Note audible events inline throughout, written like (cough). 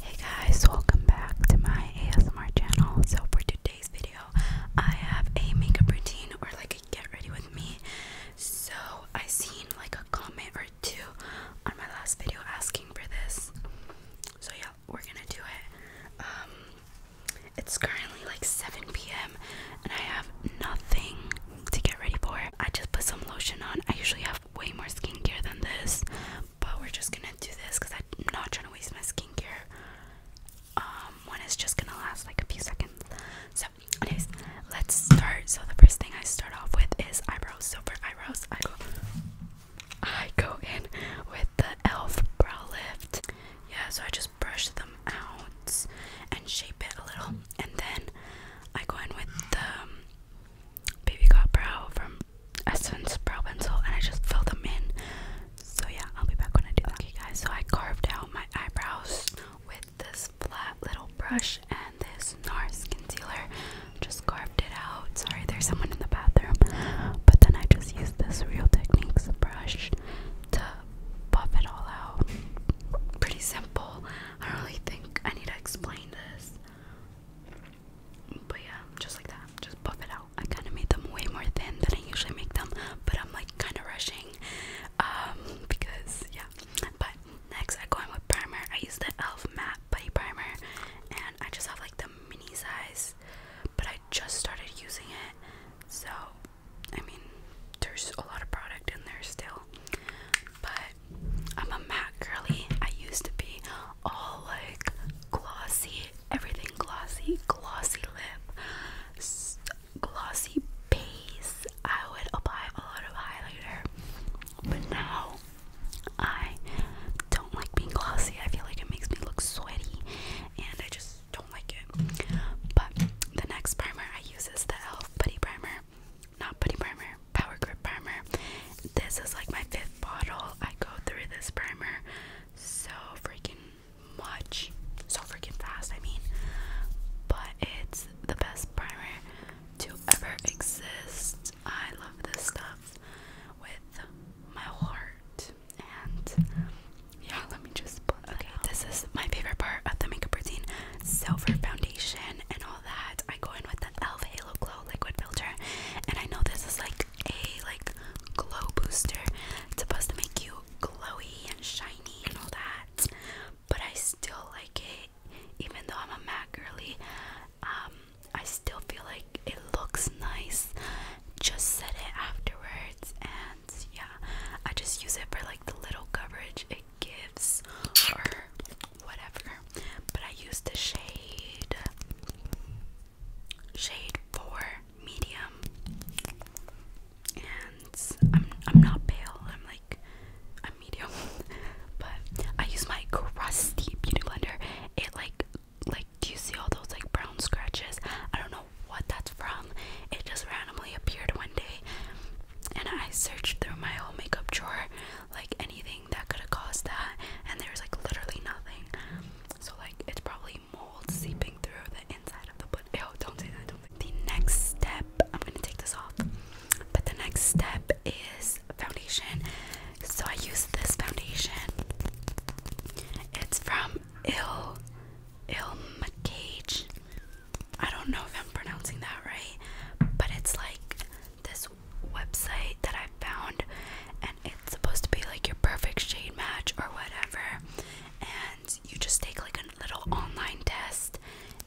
Hey guys, welcome back to my ASMR channel. So for today's video, I have a makeup routine or like a get ready with me. So I seen like a comment or two on my last video asking for this. So yeah, we're gonna do it. Um, it's currently like 7 p.m. and I have nothing to get ready for. I just put some lotion on. I usually have way more skincare than this, but we're just gonna do this because I'm not trying to waste my skincare. Um, one is just gonna last like a few seconds. So, anyways, let's start. So, the first thing I start off with is eyebrows. So, for eyebrows, I go, I go in with the e.l.f. brow lift. Yeah, so I just brush them out and shape it a little, and then I go in with the um, baby got brow from Essence brow pencil and I just fill them in. So yeah, I'll be back when I do that. guys, so I carved out my eyebrows with this flat little brush and this NARS concealer. Just carved it out. Sorry, there's someone in the bathroom. But then I just used this Real Techniques brush to buff it all out. Pretty simple. I don't really think I need to explain this. But yeah, just like that, just buff it out. I kind of made them way more thin than I usually make them, but I'm like kind of rushing, um, because yeah. But next, I go in with primer. I use the Elf Matte Body Primer, and I just have like the mini size, but I just started using it, so I mean, there's a lot of product in there still but I'm a matte girly. I used to be all like glossy, everything glossy, glossy lip, glossy base. I would apply a lot of highlighter, but now I don't like being glossy. I feel like it makes me look sweaty, and I just don't like it. But the next primer I use is the e.l.f. Putty Primer. Not putty primer, power grip primer. This is like my fifth bottle. I go through this primer so freaking much, so freaking fast. I mean, but it's the best primer to ever exist. I love this stuff with my heart. And yeah, let me just. Put okay, this is my favorite part of the makeup routine: silver foundation and all that. I go in with the e.l.f. Halo Glow Liquid Filter, and I know this is like a like glow booster. It's supposed to make you glowy and shiny and all that, but I still like it. Even though I'm a matte girly, um, I still feel like it looks nice. Just set it afterwards, and yeah, I just use it for like the little coverage gives or whatever. But I use the shade shade for medium. And I'm I'm not pale. I'm like I'm medium. (laughs) but I use my crusty beauty blender. It like like do you see all those like brown scratches? I don't know what that's from. It just randomly appeared one day and I searched through my whole makeup drawer, like anything that could have caused that, and there's like literally nothing. So like it's probably mold seeping through the inside of the but ew, don't say that, don't say the next step I'm gonna take this off. But the next step is foundation. So I use this foundation. It's from Ill Ill McCage. I don't know if I'm pronouncing that right, but it's like this website that I found, and it's supposed to be like your perfect shade match or whatever. And you just take like a little online test,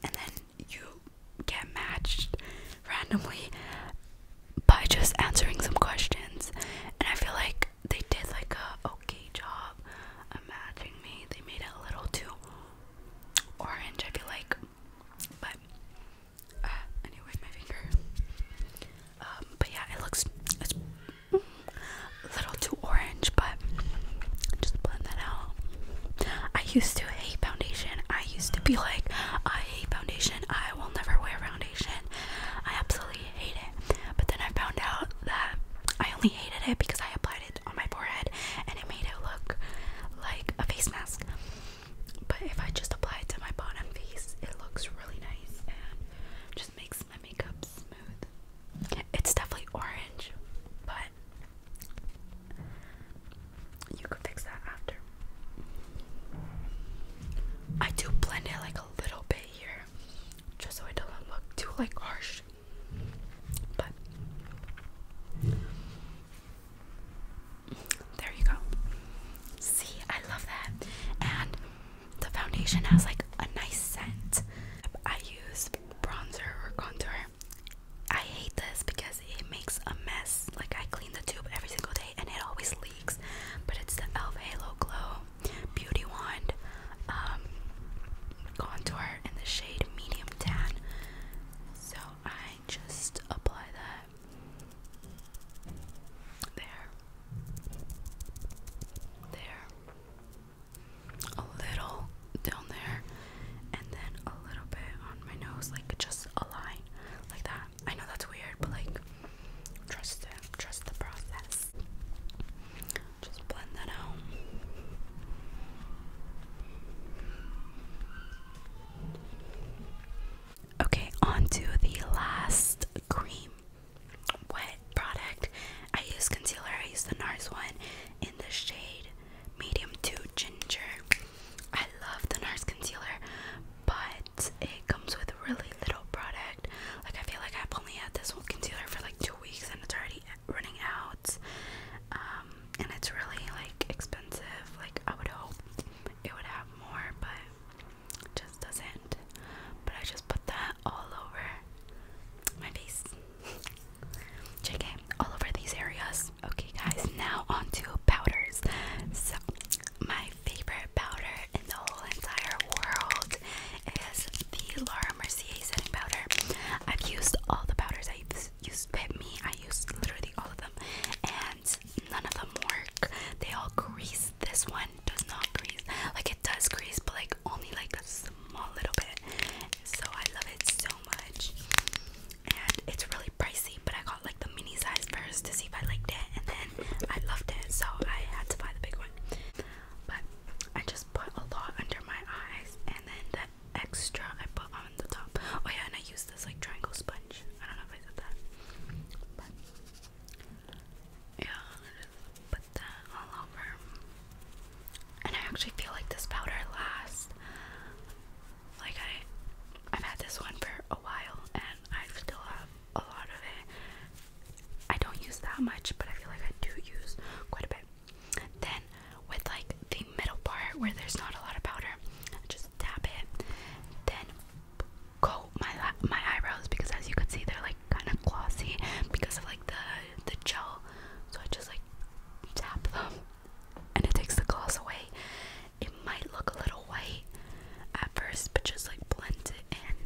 and then you get matched randomly by just answering some questions. And I feel like they did like a okay job matching me. They made it a little too orange, I feel like. But uh, my finger. Um, but yeah, it looks a little too orange, but just blend that out. I used to hate foundation. I used to be like, I hate foundation. I will never wear foundation. I absolutely hate it. But then I found out that I only hated it because I applied it on my forehead and it made it look like a face mask. But if I just apply it to my bottom face, it looks really nice and just makes my makeup smooth. It's definitely orange, but you can fix that after. I do blend it like a little bit here, just so it doesn't look too like harsh. But there you go. See, I love that. And the foundation has like a nice scent. I use bronzer or contour. I hate this because it makes a mess. Like I clean the tube every single day and it always leaks. But it's the e.l.f. Halo Glow Beauty Wand um, contour in the shade medium tan. So I just apply that there, there, a little down there, and then a little bit on my nose, like just a line like that. I know that's weird, but like, trust it, trust the process. Just blend that out. Okay, on the last cream wet product. I use concealer, I use the NARS one in the shade medium to ginger. I love the NARS concealer, but it comes with really little product. Like I feel like I've only had this one concealer for like two weeks and it's already running out, um, and it's really like expensive. Like I would hope it would have more, but just doesn't. But I just put that all over my face. JK, (laughs) all over these areas. Okay, guys, now on to powders. So, my favorite powder in the whole entire world is the Laura Mercier setting powder. I've used all the powders. I used Pet Me. I used literally all of them, and none of them work. They all grease. This one does not grease. Like it does grease, but like only like a small little bit. So I love it so much, and it's really pricey. But I got like the mini size first to see if I liked it, and then I loved it, so I had to buy the big one. But I just put a lot under my eyes and then the extra I put on the top. Oh yeah, and I used this like triangle sponge. I don't know if I said that. yeah, just put that all over. And I actually feel like this powder lasts. Like I I've had this one for a while and I still have a lot of it I don't use that much, but I feel like I do use quite a bit. Then with like the middle part where there's not a lot of powder, just tap it. Then coat my my eyebrows because as you can see they're like kind of glossy because of like the the gel. So I just like tap them, and it takes the gloss away. It might look a little white at first, but just like blend it in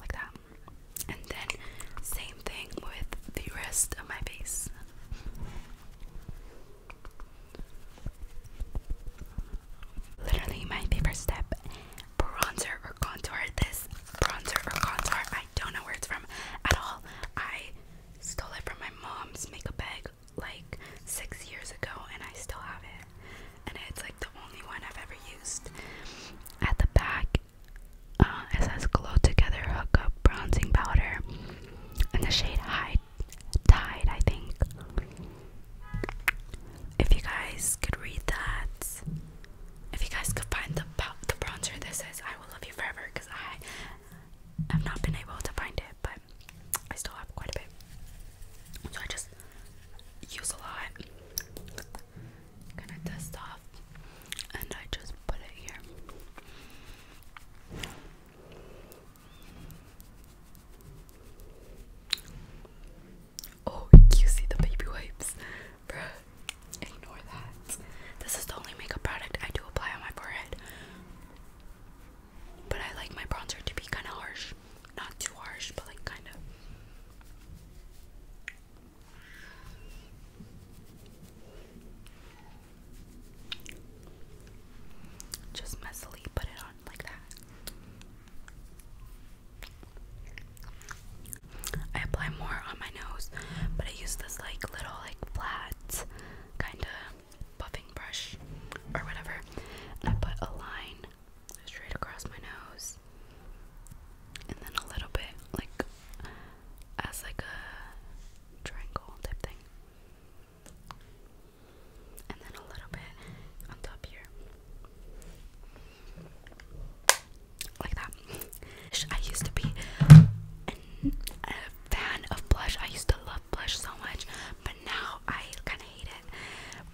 like that. And then same thing with the rest of my face. Literally my favorite step, bronzer or contour. This bronzer or contour, I don't know where it's from at all. I stole it from my mom's makeup bag like six years ago and I still have it. And it's like the only one I've ever used. At the back, uh, it says Glow Together Hookup Bronzing Powder in the shade High Tide, I think. If you guys could read that, if you guys could find the, the bronzer that says I Will Love You Forever, because I have not been able to find it, but I still have quite a bit. So I just use a lot. Gonna dust off, and I just put it here. Oh, you see the baby wipes, bruh. Ignore that. This is the only makeup product I do apply on my forehead. But I like my bronzer to be kind of harsh. Not too harsh, but like kind of. Just messily put it on like that. I apply more on my nose, but I use this like little like flat kind of buffing brush or whatever. And I put a line straight across my nose, and then a little bit like as like a triangle type thing, and then a little bit on top here, like that. I used to be a fan of blush. I used to love blush so much, but now I kind of hate it.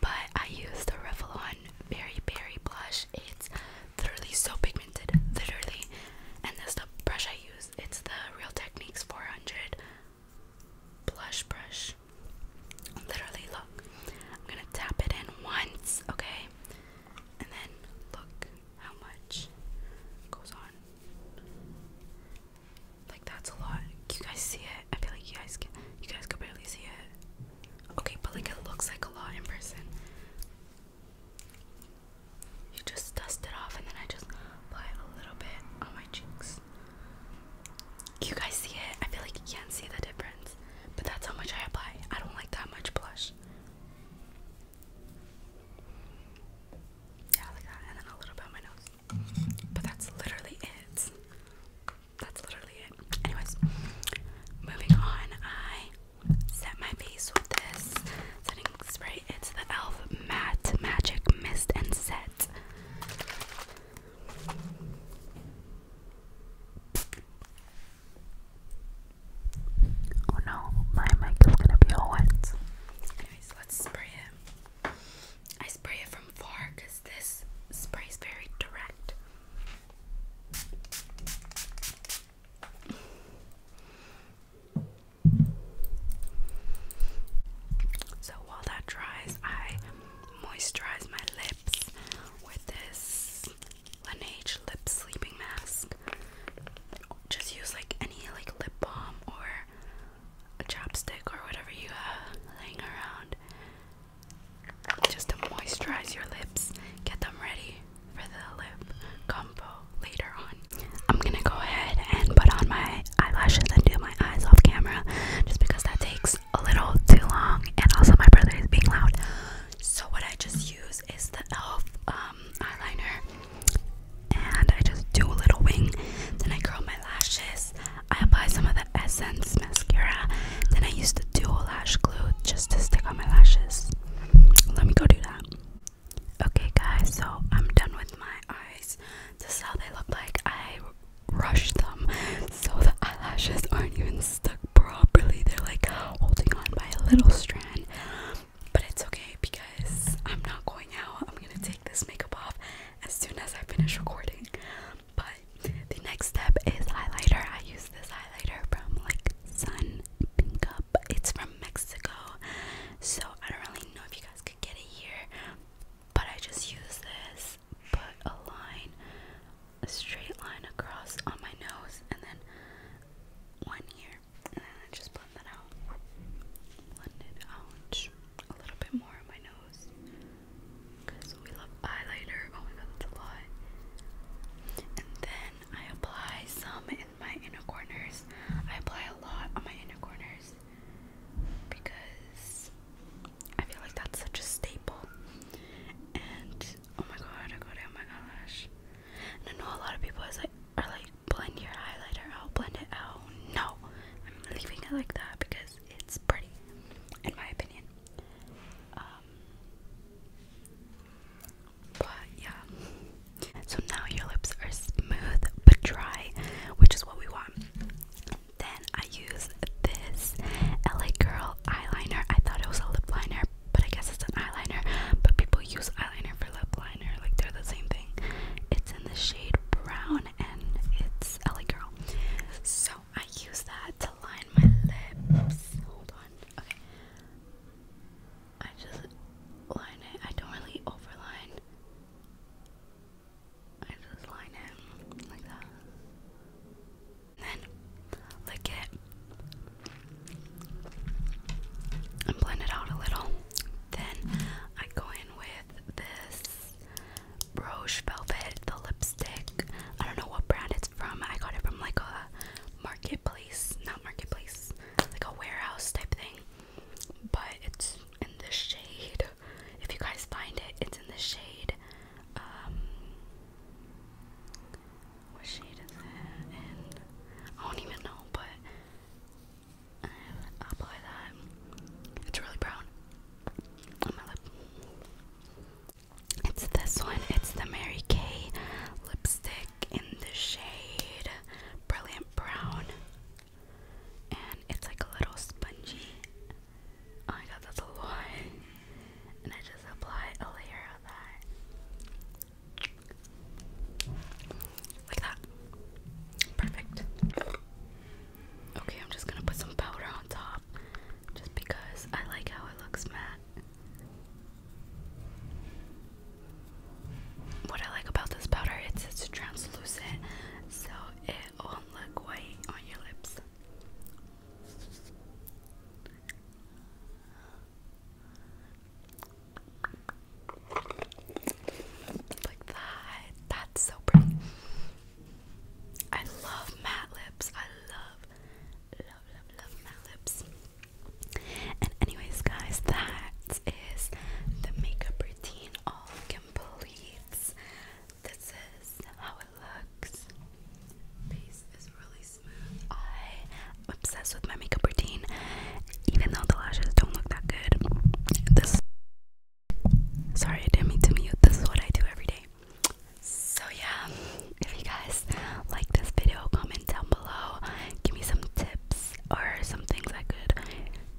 But I use the Revlon Berry Berry blush. It's literally so pigmented, literally. And that's the brush I use. It's the Real Techniques 400 blush brush. Literally, look. I'm gonna tap it in once, okay? And then look how much goes on. Like that's a lot. you guys see it? I feel like you guys can. You guys could barely see it. Okay, but like it looks like a lot in person. You just dust it off, and then I just apply a little bit on my cheeks. You guys see it? I feel like you can't see the difference, but that's how much I apply. I don't like that much blush. Yeah, like that, and then a little bit on my nose. But that's literally it. That's literally it. Anyways, moving on. I set my face with this setting spray. It's the Elf Matte Magic Mist and Set. Oh no, my mic is gonna be all wet. Anyways, let's spray it. I spray it from far because this spray is very direct. So while that dries, I moisturize my lips with this Laneige lip sleeping mask. Just use like any like lip balm or a chopstick or whatever you uh, have laying around just to moisturize your lips, get them ready for the lip combo later on. I'm gonna go ahead and put on my eyelashes and do my eyes off camera just because that takes a little too long and also my brother is being loud. So what I just use is the e.l.f. Um, eyeliner and I just do a little wing. Then I curl my lashes. I apply some of the Essence mascara. Then I use the dual lash glue just to stick on my lashes. Let me go do that. Okay, guys, so I'm done with my eyes. This is how they look like. I rushed them so the eyelashes aren't even stuck properly. They're like holding on by a little strand. But it's okay because I'm not going out. I'm going to take this makeup off as soon as I finish recording. But the next step is highlighter. I use this highlighter from like Sun Pink Up. It's from Mexico. So I don't really know if you guys could get it here. But I just use this, put a line, a straight line across on my nose, and then one here and then I just blend that out. Blend it out a little bit more on my nose because we love eyeliner. Oh my god, that's a lot. And then I apply some in my inner corners. I apply a lot on my inner corners because I feel like that's such a staple. And oh my god, I go down my eyelash. Oh and I know a lot of people is like are like like blend your highlighter I'll blend it out. No, I'm leaving it like that because it's pretty, in my opinion. Um, but yeah, so now your lips are smooth but dry, which is what we want. Then I use this LA Girl eyeliner. I thought it was a lip liner, but I guess it's an eyeliner. But people use eyeliner for lip liner, like they're the same thing. It's in the shade brown and it's LA Girl. So I use that to line my lips. Hold on. Okay. I just line it. I don't really overline. I just line it like that. then lick it and blend it out a little. Then I go in with this Rouge Velvet, the lipstick. I don't know what brand it's from. I got it from like a marketplace, not marketplace, like a warehouse type thing. But it's in the shade. If you guys find it, it's in the shade. Um, what shade is it? I don't even know, but apply that. It's really brown on my lip. It's this one. It's the Mary Kay lipstick in the shade Brilliant Brown. And it's like a little spongy. Oh my god, that's a lot. And I just apply a layer of that. Like that. Perfect. Okay, I'm just gonna put some powder on top just because I like how it looks matte. What I like about this powder is it's translucent, so it won't look white on your lips. Like that. That's so pretty. I love matte lips. I love, love, love, love matte lips. And, anyways, guys, that is the makeup routine all complete. This is how it looks. Face is really I'm obsessed with my makeup routine, even though the lashes don't look that good. This, sorry, I didn't mean to mute. This is what I do every day. So yeah, if you guys like this video, comment down below. Give me some tips or some things I could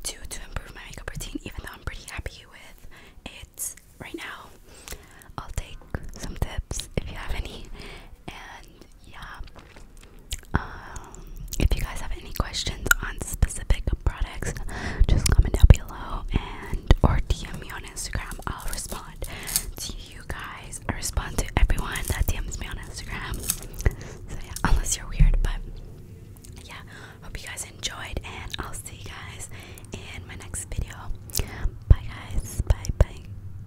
do to improve my makeup routine, even though I'm pretty happy with it right now. I'll take some tips if you have any, and yeah, um, if you guys have any questions on specific products, just comment down below and or DM me on Instagram. I'll respond to you guys. I respond to everyone that DMs me on Instagram. So yeah, unless you're weird, but yeah, hope you guys enjoyed, and I'll see you guys in my next video. Bye, guys. Bye, bye.